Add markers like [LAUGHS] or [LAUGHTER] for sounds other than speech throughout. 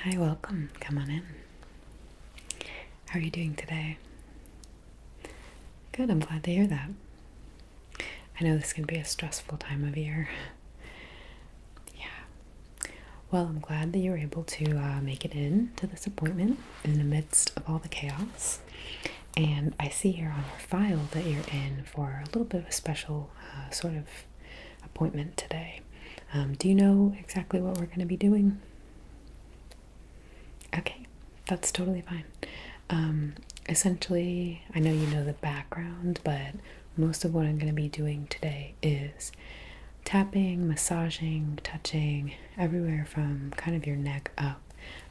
Hi, welcome. Come on in. How are you doing today? Good, I'm glad to hear that. I know this can be a stressful time of year. [LAUGHS] yeah. Well, I'm glad that you are able to uh, make it in to this appointment in the midst of all the chaos. And I see here on our file that you're in for a little bit of a special uh, sort of appointment today. Um, do you know exactly what we're going to be doing? Okay, that's totally fine. Um, essentially, I know you know the background, but most of what I'm going to be doing today is tapping, massaging, touching, everywhere from kind of your neck up.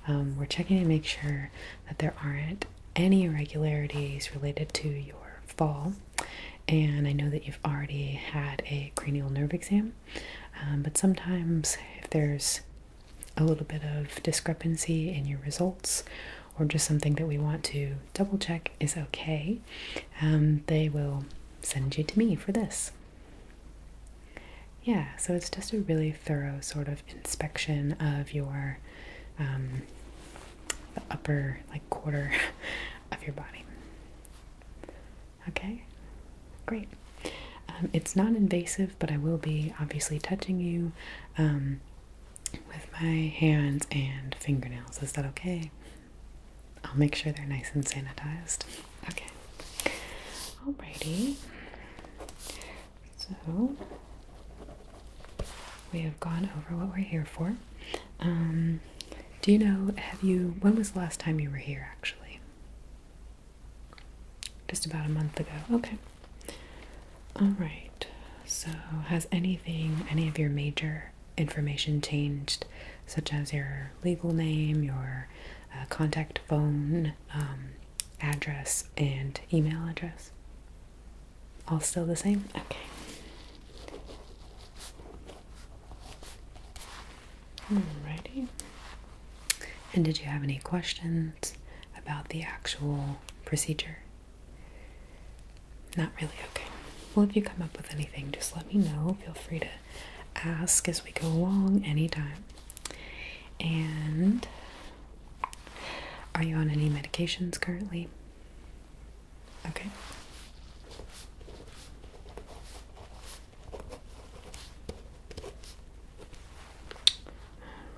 Um, we're checking to make sure that there aren't any irregularities related to your fall and I know that you've already had a cranial nerve exam, um, but sometimes if there's a little bit of discrepancy in your results or just something that we want to double check is okay, um, they will send you to me for this. Yeah, so it's just a really thorough sort of inspection of your um, upper, like quarter of your body. Okay, great. Um, it's not invasive, but I will be obviously touching you um, with my hands and fingernails. Is that okay? I'll make sure they're nice and sanitized. Okay. Alrighty. So we have gone over what we're here for. Um, do you know, have you, when was the last time you were here actually? Just about a month ago. Okay. All right. So, has anything, any of your major information changed, such as your legal name, your uh, contact phone, um, address, and email address? All still the same? Okay. Alrighty. And did you have any questions about the actual procedure? Not really, okay. Well, if you come up with anything, just let me know. Feel free to ask as we go along anytime. And are you on any medications currently? Okay.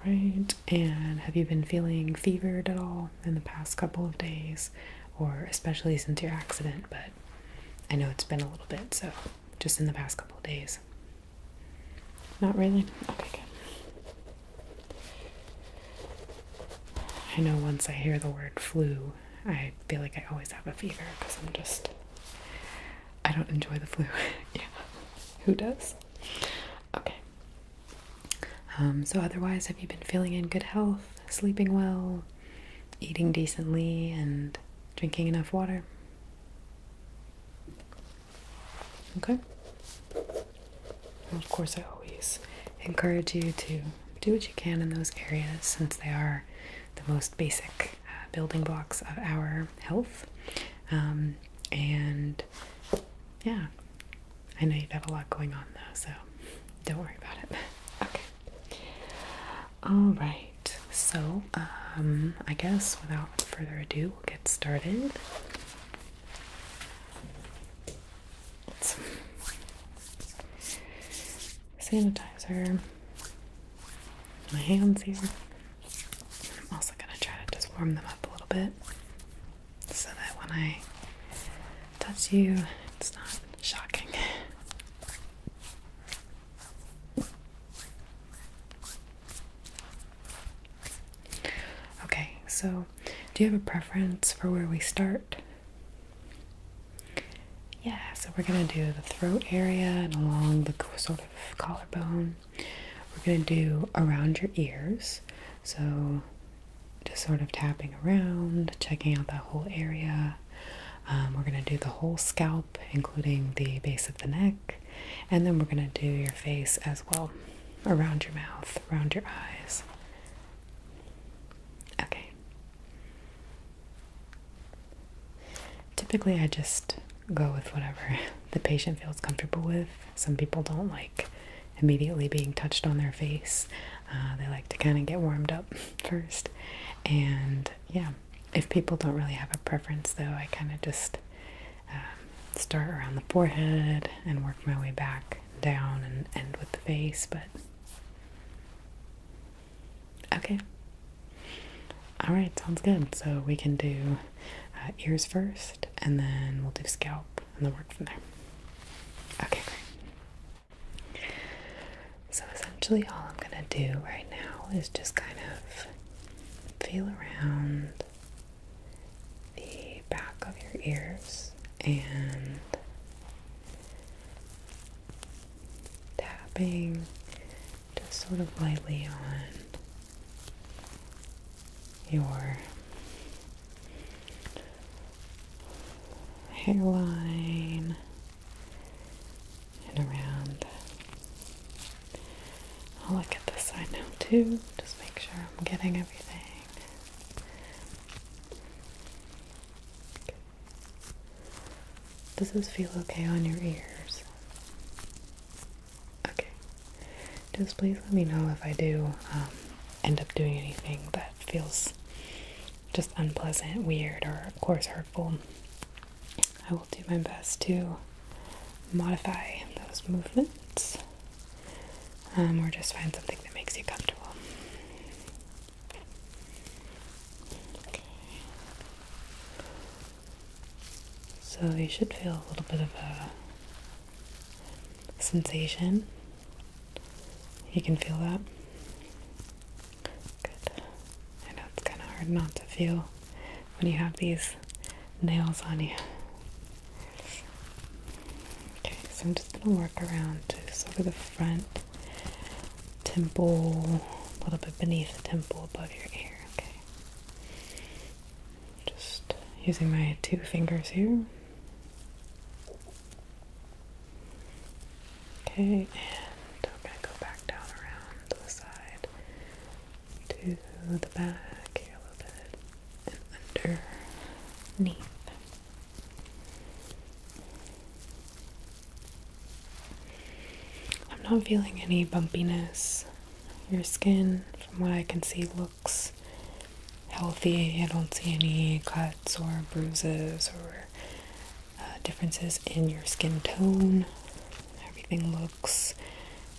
Right, and have you been feeling fevered at all in the past couple of days, or especially since your accident? But I know it's been a little bit, so just in the past couple of days. Not really? Okay, good. I know once I hear the word flu, I feel like I always have a fever because I'm just, I don't enjoy the flu. [LAUGHS] yeah, who does? Okay. Um, so, otherwise, have you been feeling in good health, sleeping well, eating decently, and drinking enough water? Okay of course, I always encourage you to do what you can in those areas since they are the most basic uh, building blocks of our health. Um, and yeah, I know you've got a lot going on though, so don't worry about it. [LAUGHS] Okay. All right. So, um, I guess without further ado, we'll get started sanitizer. My hands here. I'm also gonna try to just warm them up a little bit so that when I touch you, it's not shocking. Okay, so do you have a preference for where we start? Yeah, so we're going to do the throat area and along the sort of collarbone. We're going to do around your ears. So just sort of tapping around, checking out that whole area. Um, we're going to do the whole scalp, including the base of the neck. And then we're going to do your face as well around your mouth, around your eyes. Okay. Typically, I just go with whatever [LAUGHS] the patient feels comfortable with. Some people don't like immediately being touched on their face, uh, they like to kind of get warmed up [LAUGHS] first. And yeah, if people don't really have a preference, though, I kind of just um, start around the forehead and work my way back down and end with the face, but okay. All right, sounds good. So we can do uh, ears first, and then we'll do scalp, and then work from there. Okay, great. So essentially, all I'm gonna do right now is just kind of feel around the back of your ears and tapping just sort of lightly on your hairline and around. I'll look at this side now too, just make sure I'm getting everything. Does this feel okay on your ears? Okay. Just please let me know if I do um, end up doing anything that feels just unpleasant, weird, or of course hurtful. I will do my best to modify those movements. Um, or just find something that makes you comfortable. So you should feel a little bit of a sensation. You can feel that. Good. I know it's kind of hard not to feel when you have these nails on you. Okay, so I'm just gonna work around just over the front temple, a little bit beneath the temple, above your ear. Okay, just using my two fingers here. Okay, and I'm gonna go back down around the side to the back here a little bit and underneath. I'm not feeling any bumpiness. Your skin, from what I can see, looks healthy. I don't see any cuts or bruises or uh, differences in your skin tone. Everything looks,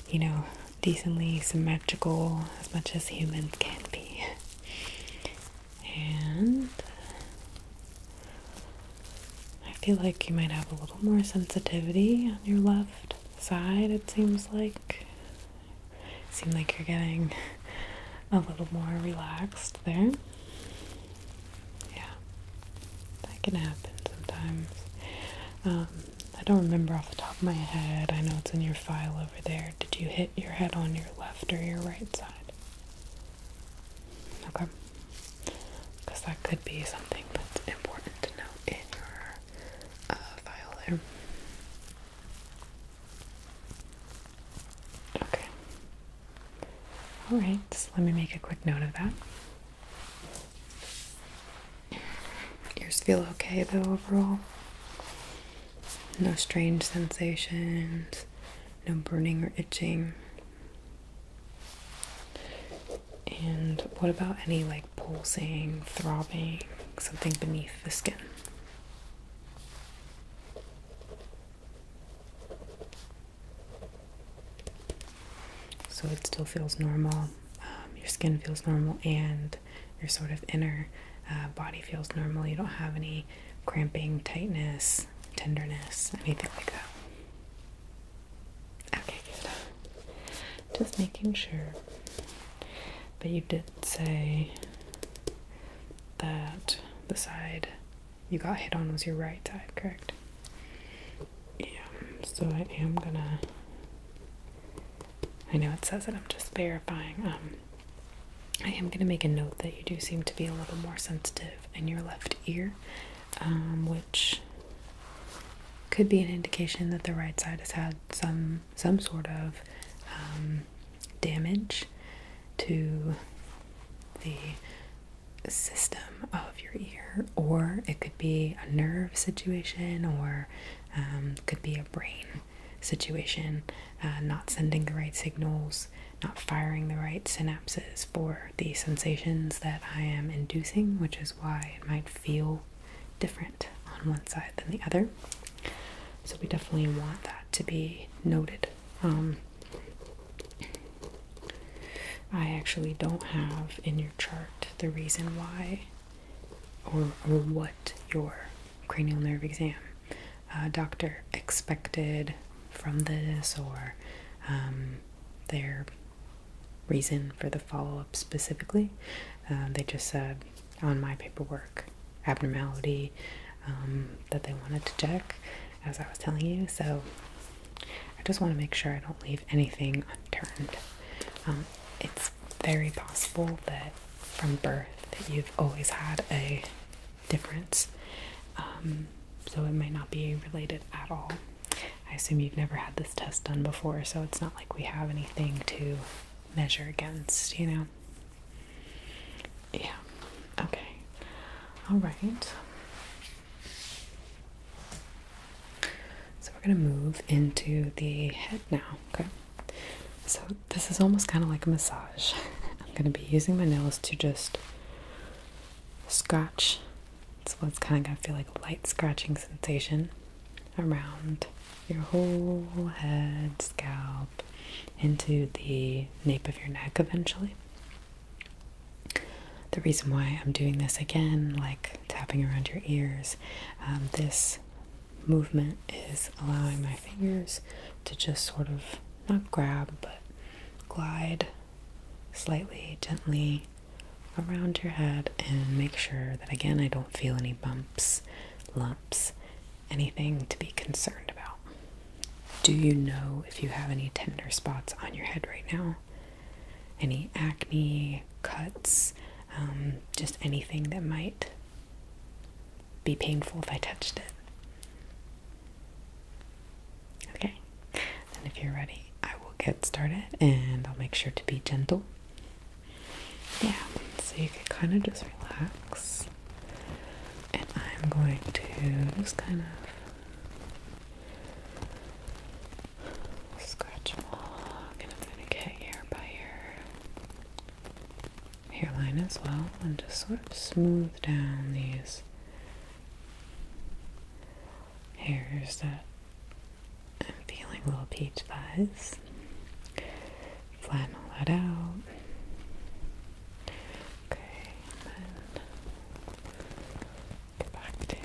you know, decently symmetrical as much as humans can be. [LAUGHS] And I feel like you might have a little more sensitivity on your left side, it seems like. Seem like you're getting [LAUGHS] a little more relaxed there. Yeah, that can happen sometimes. Um, I don't remember off the top of my head. I know it's in your file there, did you hit your head on your left or your right side? Okay. Because that could be something that's important to note in your uh, file there. Okay. Alright, so let me make a quick note of that. Yours feel okay though overall? No strange sensations, no burning or itching. And what about any like pulsing, throbbing, something beneath the skin? So it still feels normal. Um, your skin feels normal and your sort of inner uh, body feels normal. You don't have any cramping, tightness, tenderness, anything like that. Okay, good. Just making sure. But you did say that the side you got hit on was your right side, correct? Yeah, so I am gonna. I know it says it, I'm just verifying. Um, I am going to make a note that you do seem to be a little more sensitive in your left ear, um, which could be an indication that the right side has had some some sort of um, damage to the system of your ear, or it could be a nerve situation, or um, could be a brain situation, uh, not sending the right signals, not firing the right synapses for the sensations that I am inducing, which is why it might feel different on one side than the other. So, we definitely want that to be noted. Um, I actually don't have in your chart the reason why or, or what your cranial nerve exam uh, doctor expected from this or um, their reason for the follow up specifically. Uh, they just said on my paperwork abnormality um, that they wanted to check, as I was telling you. So I just want to make sure I don't leave anything unturned. Um, it's very possible that from birth that you've always had a difference. Um, so it might not be related at all. I assume you've never had this test done before, so it's not like we have anything to measure against, you know? Yeah. Okay. All right. So we're going to move into the head now, okay? So, this is almost kind of like a massage. [LAUGHS] I'm going to be using my nails to just scratch. So, it's kind of going to feel like a light scratching sensation around your whole head, scalp, into the nape of your neck eventually. The reason why I'm doing this again, like tapping around your ears, um, this movement is allowing my fingers to just sort of not grab but glide slightly gently around your head and make sure that again I don't feel any bumps, lumps, anything to be concerned about. Do you know if you have any tender spots on your head right now? Any acne, cuts, um, just anything that might be painful if I touched it. Okay, and if you're ready, I will get started and I'll make sure to be gentle. Yeah, so you can kind of just relax, and I'm going to just kind of scratch along, and i going to get ear by ear hairline as well and just sort of smooth down these hairs that I'm feeling little peach fuzz. Flatten all that out. Okay, and then back to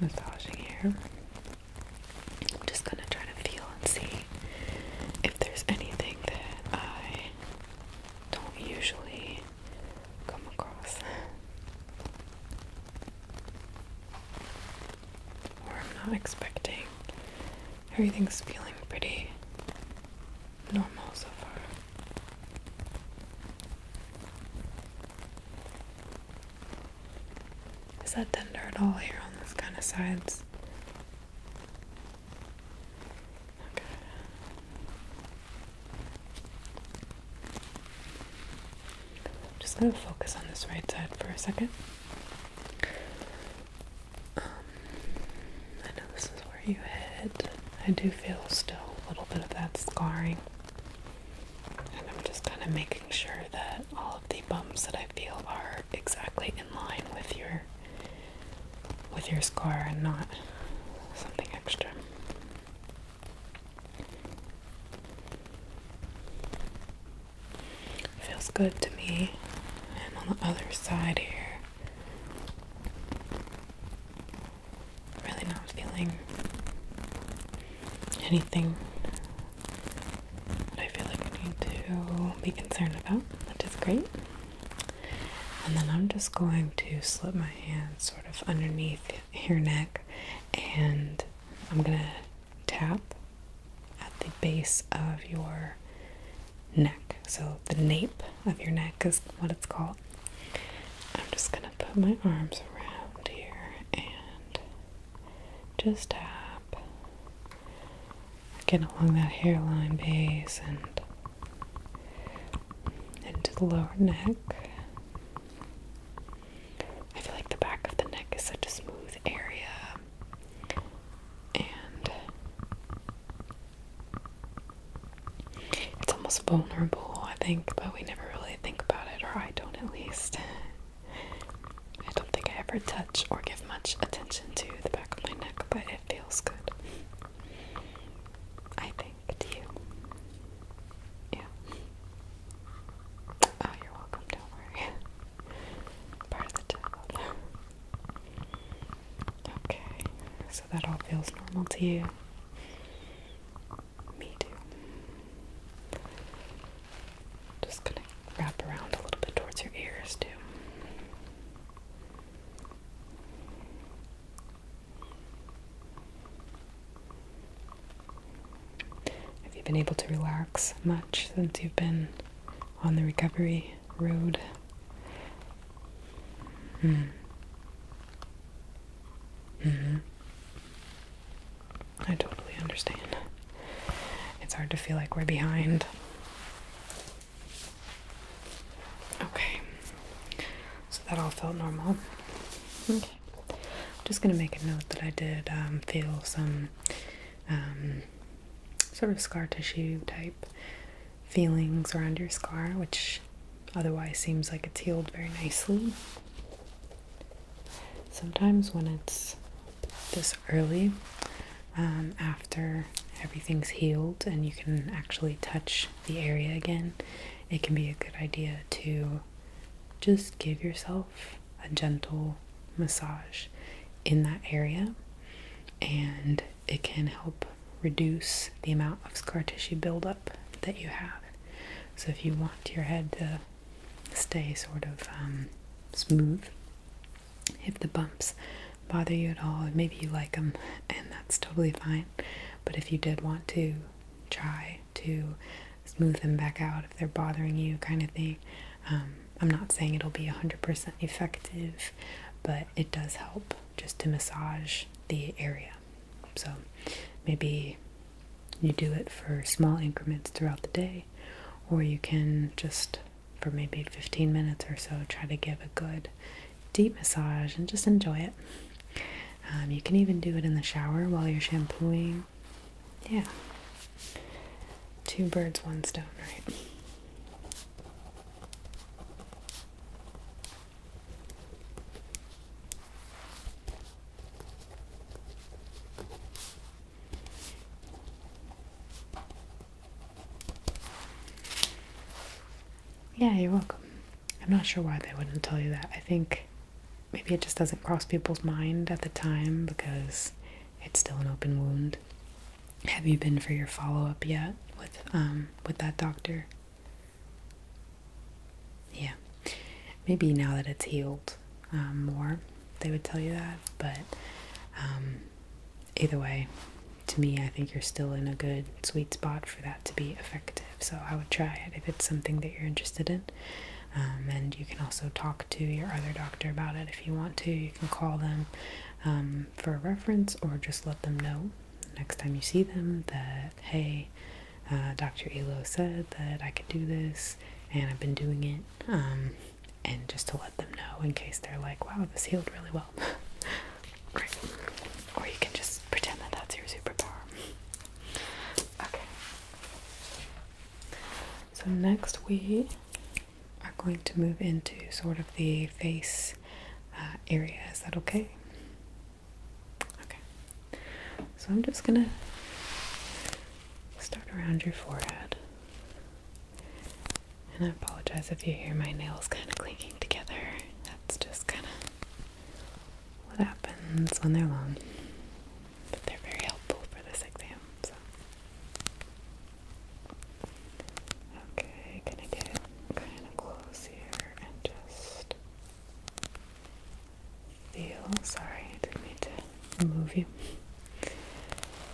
massaging here. I'm just gonna try to feel and see if there's anything that I don't usually come across. or I'm not expecting. Everything's feeling pretty normal so far. Is that tender at all here on those kind of sides? I'm just going to focus on this right side for a second. Um, I know this is where you hit. I do feel still a little bit of that scarring. And I'm just kind of making sure that all the bumps that I feel are exactly in line with your with your scar and not something extra. Feels good to me. And on the other side here, really not feeling anything that I feel like I need to be concerned about, which great. And then I'm just going to slip my hand sort of underneath your neck and I'm gonna tap at the base of your neck. So the nape of your neck is what it's called. I'm just gonna put my arms around here and just tap Again, along that hairline base and into the lower neck. I feel like the back of the neck is such a smooth area. And it's almost vulnerable, I think, but we never really think about it, or I don't at least. I don't think I ever touch or give much attention to the back of my neck, but it feels good. I think to you. Yeah. Oh, you're welcome, don't worry. Part of the job. Okay, so that all feels normal to you. Me too. Just going wrap around a little bit towards your ears, too. Have you been able to relax much since you've been on the recovery road? Mm. hmm mm-hmm. I totally understand it's hard to feel like we're behind. Okay, so that all felt normal. Okay, I'm just gonna make a note that I did um, feel some um, sort of scar tissue type feelings around your scar, which otherwise seems like it's healed very nicely. Sometimes when it's this early um, after everything's healed and you can actually touch the area again, it can be a good idea to just give yourself a gentle massage in that area and it can help reduce the amount of scar tissue buildup that you have. So, if you want your head to stay sort of um, smooth, if the bumps bother you at all, maybe you like them, and that's totally fine. But if you did want to try to smooth them back out if they're bothering you, kind of thing, um, I'm not saying it'll be 100% effective, but it does help just to massage the area. So maybe you do it for small increments throughout the day, or you can just for maybe 15 minutes or so. Try to give a good deep massage and just enjoy it. Um, you can even do it in the shower while you're shampooing. Yeah. Two birds, one stone, right? Yeah, you're welcome. I'm not sure why they wouldn't tell you that. I think maybe it just doesn't cross people's mind at the time because it's still an open wound. Have you been for your follow-up yet with um with that doctor? Yeah. Maybe now that it's healed um, more, they would tell you that, but um either way, to me, I think you're still in a good sweet spot for that to be effective. So I would try it if it's something that you're interested in. Um, and you can also talk to your other doctor about it if you want to. You can call them um, for a reference or just let them know next time you see them that, hey, uh, Dr. Elo said that I could do this and I've been doing it. Um, and just to let them know in case they're like, wow, this healed really well. Great. [LAUGHS] Or you can just pretend that that's your superpower. Okay. So next we are going to move into sort of the face uh, area. Is that okay? Okay. So I'm just gonna start around your forehead. And I apologize if you hear my nails kind of clinking together. That's just kind of what happens when they're long. But they're very helpful for this exam. So. Okay, gonna get kind of close here and just feel. Sorry, I did to move you.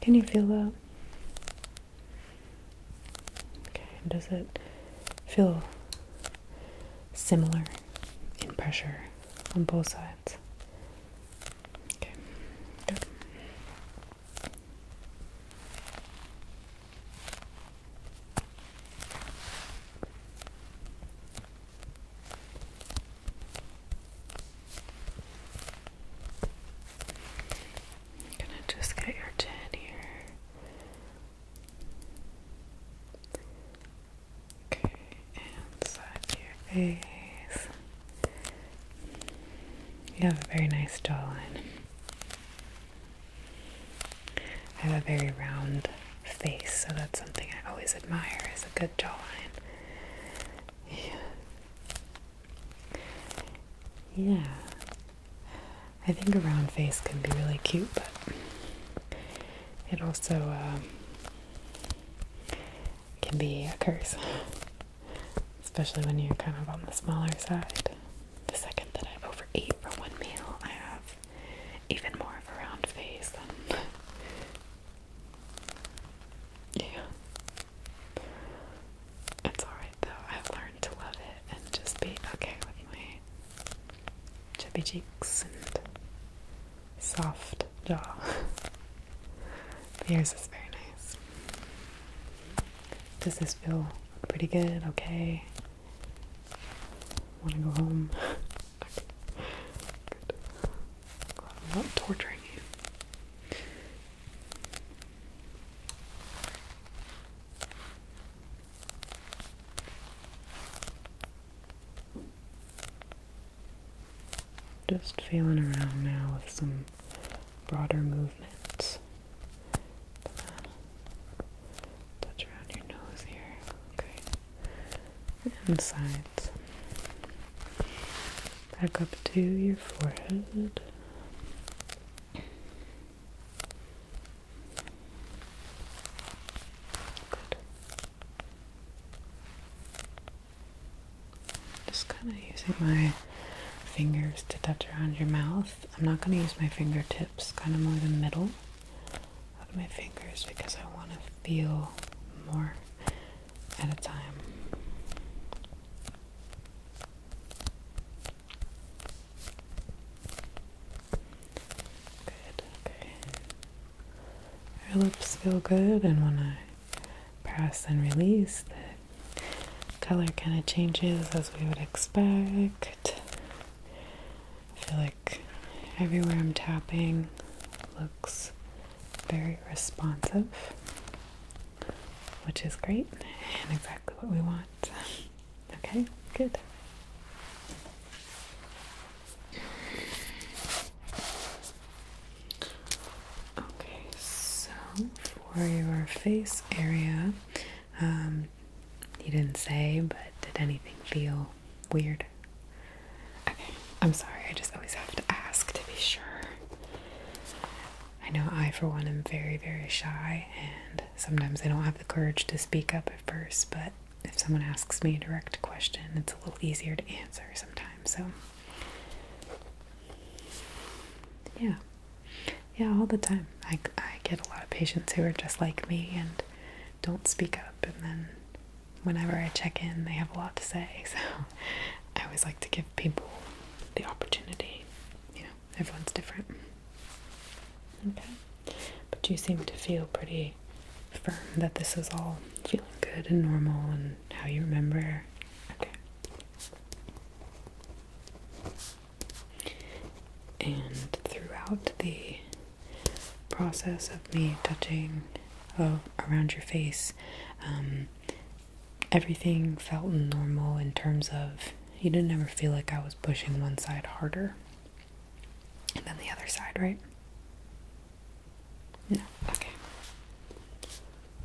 Can you feel that? Okay, does it feel similar in pressure on both sides? Okay, good. I'm gonna just get your chin here. Okay, inside your face. You have a very nice jawline. I have a very round face, so that's something I always admire is a good jawline. Yeah. yeah. I think a round face can be really cute, but it also um, can be a curse, especially when you're kind of on the smaller side. The second that I overeat for one meal, I have even more of a round face than yeah. It's alright though. I've learned to love it and just be okay with my chubby cheeks and soft jaw. but yours is very nice. Does this feel pretty good? Okay. Wanna go home? [LAUGHS] Good. I'm not torturing you. Just feeling around now with some broader movements. Touch around your nose here, okay, and back up to your forehead. Good. Just kind of using my fingers to touch around your mouth. I'm not going to use my fingertips, kind of more the middle of my fingers because I want to feel more at a time. Good, okay. lips feel good, and when I press and release, the color kind of changes as we would expect. I feel like everywhere I'm tapping looks very responsive, which is great and exactly what we want. Okay, good. Okay, so for your face area, um, you didn't say, but did anything feel weird? Okay, I'm sorry, I just always have to ask to be sure. I know I, for one, am very, very shy, and sometimes I don't have the courage to speak up at first, but if someone asks me a direct question, it's a little easier to answer sometimes. So, yeah, yeah, all the time. I, I get a lot of patients who are just like me and don't speak up, and then whenever I check in, they have a lot to say. [LAUGHS] So I always like to give people the opportunity. You know, everyone's different. Okay. But you seem to feel pretty firm that this is all feeling good and normal and how you remember. Okay. And throughout the process of me touching oh, around your face, um, everything felt normal in terms of you didn't ever feel like I was pushing one side harder than the other side, right? No, okay.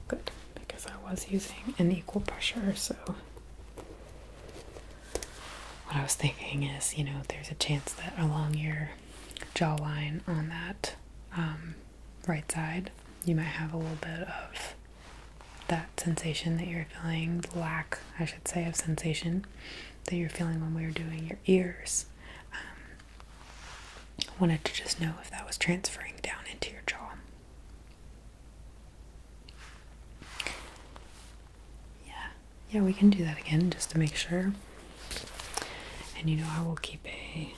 Good, because I was using an equal pressure, so what I was thinking is, you know, there's a chance that along your jawline on that um, right side, you might have a little bit of that sensation that you're feeling, lack, I should say, of sensation that you're feeling when we were doing your ears. Um, I wanted to just know if that was transferring down into your jaw. Yeah, yeah, we can do that again just to make sure. And you know, I will keep a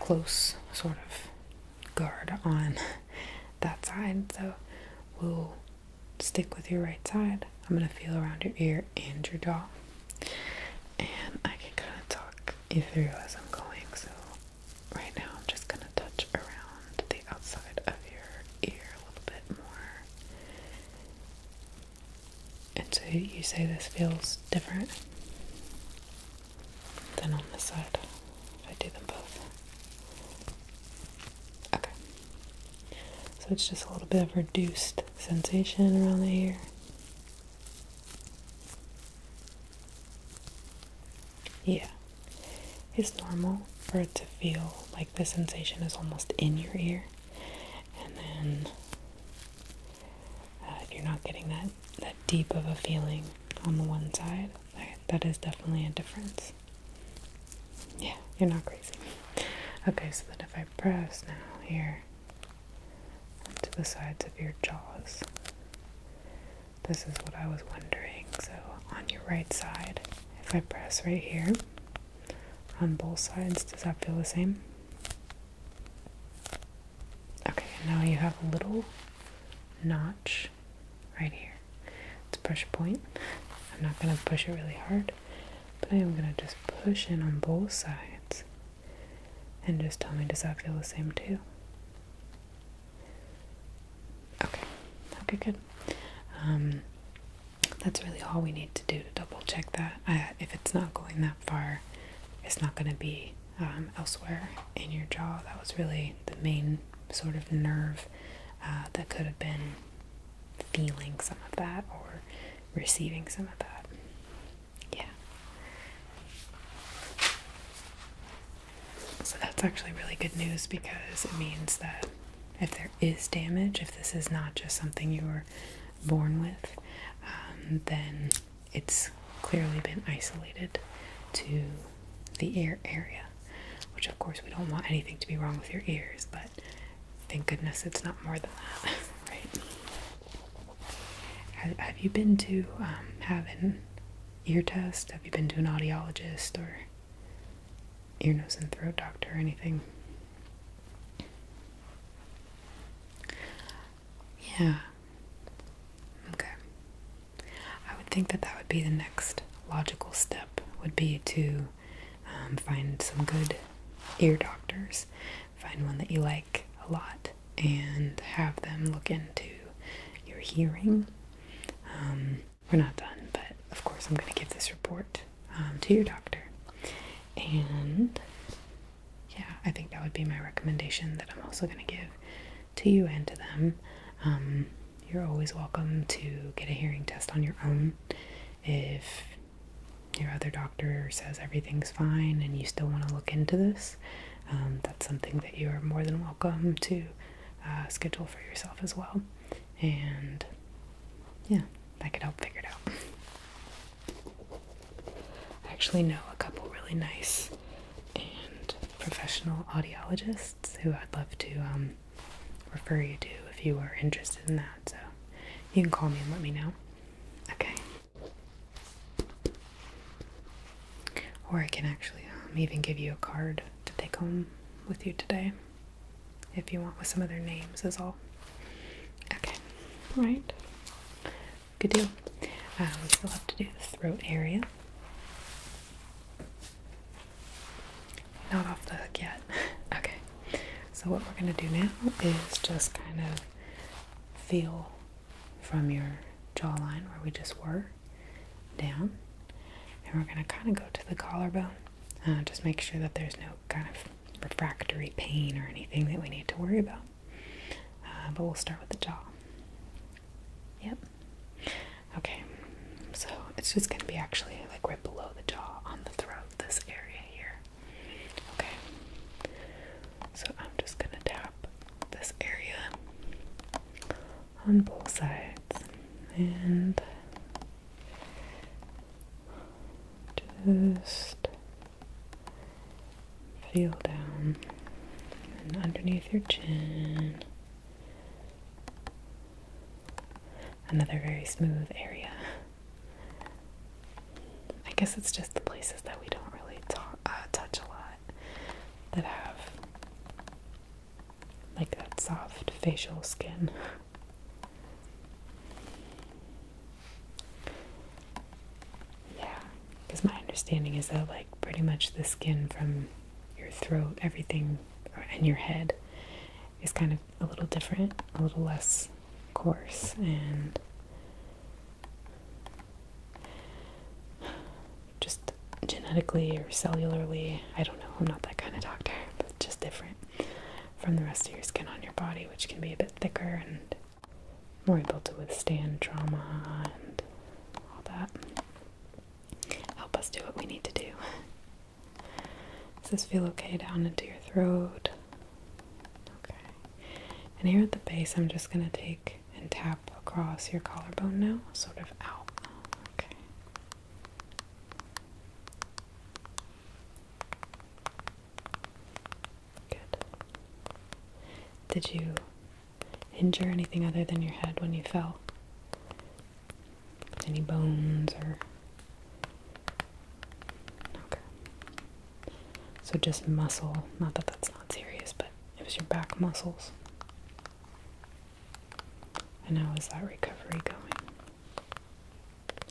close sort of guard on that side. So we'll stick with your right side. I'm going to feel around your ear and your jaw. And I can kind of talk you through as I'm going. So right now I'm just going to touch around the outside of your ear a little bit more. And so you say this feels different than on the side. I do them both. Okay. So it's just a little bit of reduced sensation around the ear. Yeah. It's normal for it to feel like the sensation is almost in your ear and then uh, you're not getting that that deep of a feeling on the one side. that is definitely a difference. Yeah, you're not crazy. Okay, so then if I press now here to the sides of your jaws, this is what I was wondering. So on your right side, if I press right here on both sides. Does that feel the same? Okay, now you have a little notch right here. It's a pressure point. I'm not going to push it really hard, but I am going to just push in on both sides and just tell me, does that feel the same too? Okay, okay, good. Um, that's really all we need to do to double check that. Uh, if it's not going that far, it's not going to be um, elsewhere in your jaw. That was really the main sort of nerve uh, that could have been feeling some of that or receiving some of that. Yeah. So that's actually really good news because it means that if there is damage, if this is not just something you were born with, um, then it's clearly been isolated to the ear area, which of course we don't want anything to be wrong with your ears, but thank goodness it's not more than that, [LAUGHS] right? Have you been to um, have an ear test? Have you been to an audiologist or ear, nose, and throat doctor or anything? Yeah. Okay. I would think that that would be the next logical step would be to um, find some good ear doctors, find one that you like a lot, and have them look into your hearing. Um, we're not done, but of course I'm going to give this report um, to your doctor. And yeah, I think that would be my recommendation that I'm also going to give to you and to them. Um, you're always welcome to get a hearing test on your own if your other doctor says everything's fine and you still want to look into this. Um, that's something that you are more than welcome to uh, schedule for yourself as well. And yeah, that could help figure it out. I actually know a couple really nice and professional audiologists who I'd love to um, refer you to if you are interested in that. So you can call me and let me know. Okay. Or I can actually um, even give you a card to take home with you today if you want with some other names is all. Okay, right. Good deal. Uh, we still have to do the throat area. Not off the hook yet. [LAUGHS] Okay. So what we're going to do now is just kind of feel from your jawline where we just were down. And we're going to kind of go to the collarbone. Uh, just make sure that there's no kind of refractory pain or anything that we need to worry about. Uh, but we'll start with the jaw. Yep. Okay, so it's just going to be actually like right below the jaw on the throat, this area here. Okay, so I'm just going to tap this area on both sides and just feel down and underneath your chin. Another very smooth area. I guess it's just the places that we don't really uh, touch a lot that have like that soft facial skin. Yeah, because my understanding is that, like, pretty much the skin from your throat, everything, and your head is kind of a little different, a little less coarse, and just genetically or cellularly. I don't know, I'm not that kind of doctor, but just different from the rest of your skin on your body, which can be a bit thicker and more able to withstand trauma and all that. Help us do what we need to do. Does this feel okay down into your throat? Okay. And here at the base, I'm just going to take and tap across your collarbone now, sort of out. Okay. Good. Did you injure anything other than your head when you fell? Any bones or. Okay. So just muscle, not that that's not serious, but it was your back muscles. And how is that recovery going?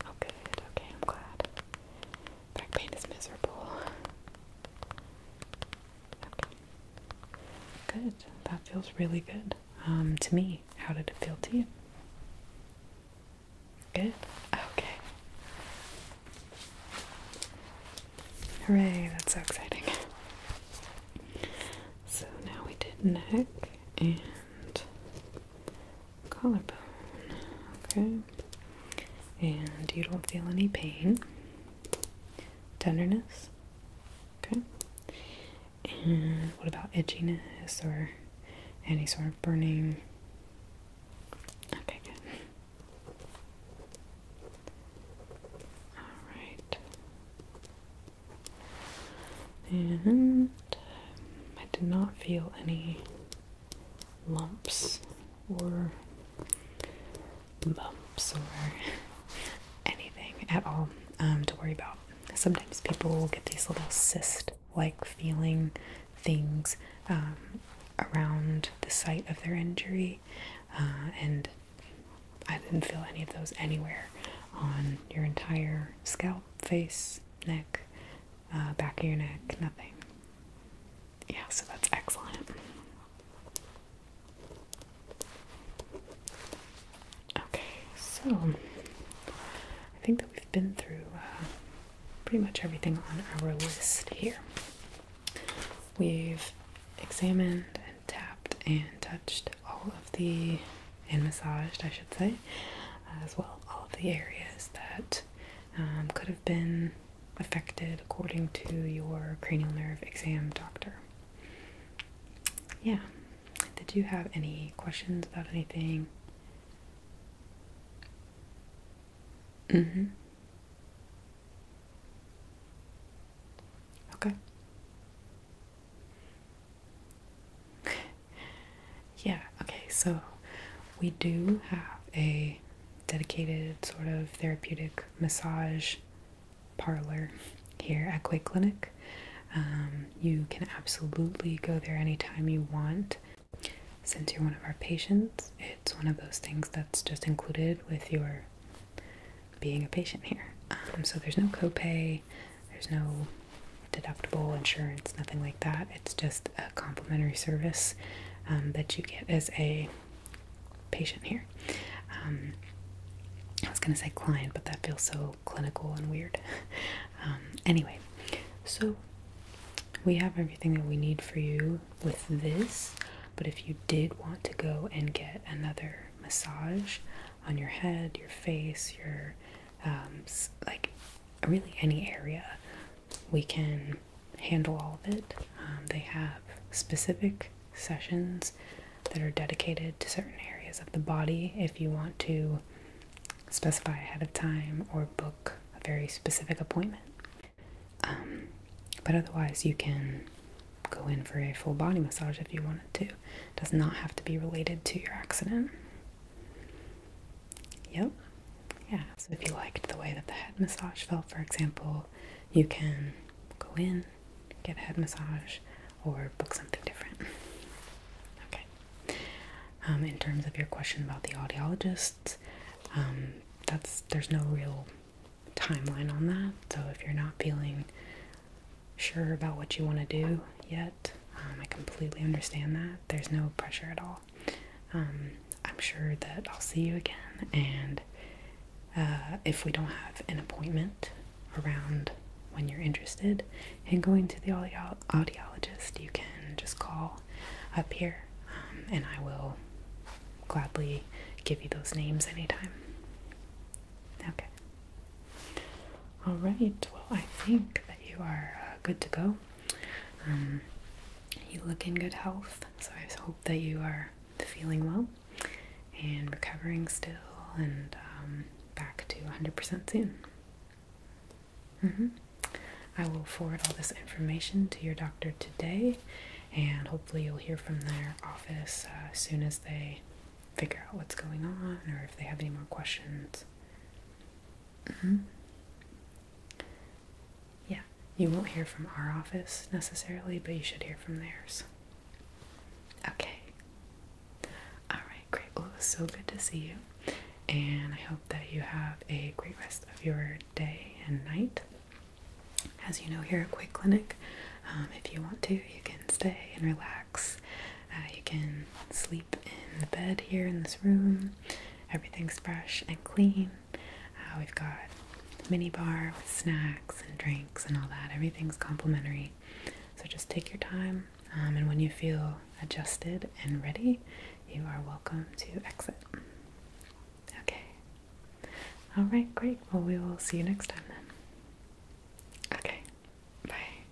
Oh, good. Okay, I'm glad. Back pain is miserable. Okay. Good. That feels really good um, to me. How did it feel to you? Good. Okay. Hooray, that's so exciting. So now we did neck and collarbone. Okay. And you don't feel any pain, tenderness. Okay. And what about edginess or any sort of burning? Okay, good. All right. And I did not feel any lumps or bumps or [LAUGHS] anything at all um, to worry about. Sometimes people will get these little cyst like feeling things um, around the site of their injury, uh, and I didn't feel any of those anywhere on your entire scalp, face, neck, uh, back of your neck, nothing. Yeah, so that's excellent. Okay, so I think that we've been through uh, pretty much everything on our list here. We've examined and tapped and touched all of the and massaged, I should say, as well all the areas that um, could have been affected according to your cranial nerve exam doctor. Yeah. Did you have any questions about anything? Mm-hmm. Okay yeah, okay, so we do have a dedicated sort of therapeutic massage parlor here at Quay Clinic. Um, you can absolutely go there anytime you want. Since you're one of our patients, it's one of those things that's just included with your being a patient here. Um, so there's no copay, there's no deductible insurance, nothing like that. It's just a complimentary service um, that you get as a patient here. Um, I was going to say client, but that feels so clinical and weird. [LAUGHS] Um, anyway, so we have everything that we need for you with this, but if you did want to go and get another massage on your head, your face, your um, like really any area we can handle all of it um, they have specific sessions that are dedicated to certain areas of the body if you want to specify ahead of time or book a very specific appointment um, but otherwise you can go in for a full body massage if you wanted to it does not have to be related to your accident Yep. Yeah. So if you liked the way that the head massage felt, for example, you can go in, get a head massage, or book something different. Okay. Um, in terms of your question about the audiologist, um, that's there's no real timeline on that. So if you're not feeling sure about what you want to do yet, um, I completely understand that. There's no pressure at all. Um, I'm sure that I'll see you again, and uh, if we don't have an appointment around when you're interested in going to the audiologist, you can just call up here um, and I will gladly give you those names anytime. Okay. All right. Well, I think that you are uh, good to go. Um, you look in good health, so I hope that you are feeling well and recovering still, and um, back to 100% soon. Mm-hmm. I will forward all this information to your doctor today, and hopefully you'll hear from their office as uh, soon as they figure out what's going on or if they have any more questions. Mm -hmm. Yeah, you won't hear from our office necessarily, but you should hear from theirs. Okay. Alright, great. Well, it was so good to see you, and I hope that you have a great rest of your day and night. As you know, here at Quick Clinic, um, if you want to, you can stay and relax uh, you can sleep in the bed here in this room. Everything's fresh and clean. Uh, we've got mini bar with snacks and drinks and all that. Everything's complimentary. So just take your time, um, and when you feel adjusted and ready, you are welcome to exit. Okay. All right, great. Well, we will see you next time then. Okay. Bye.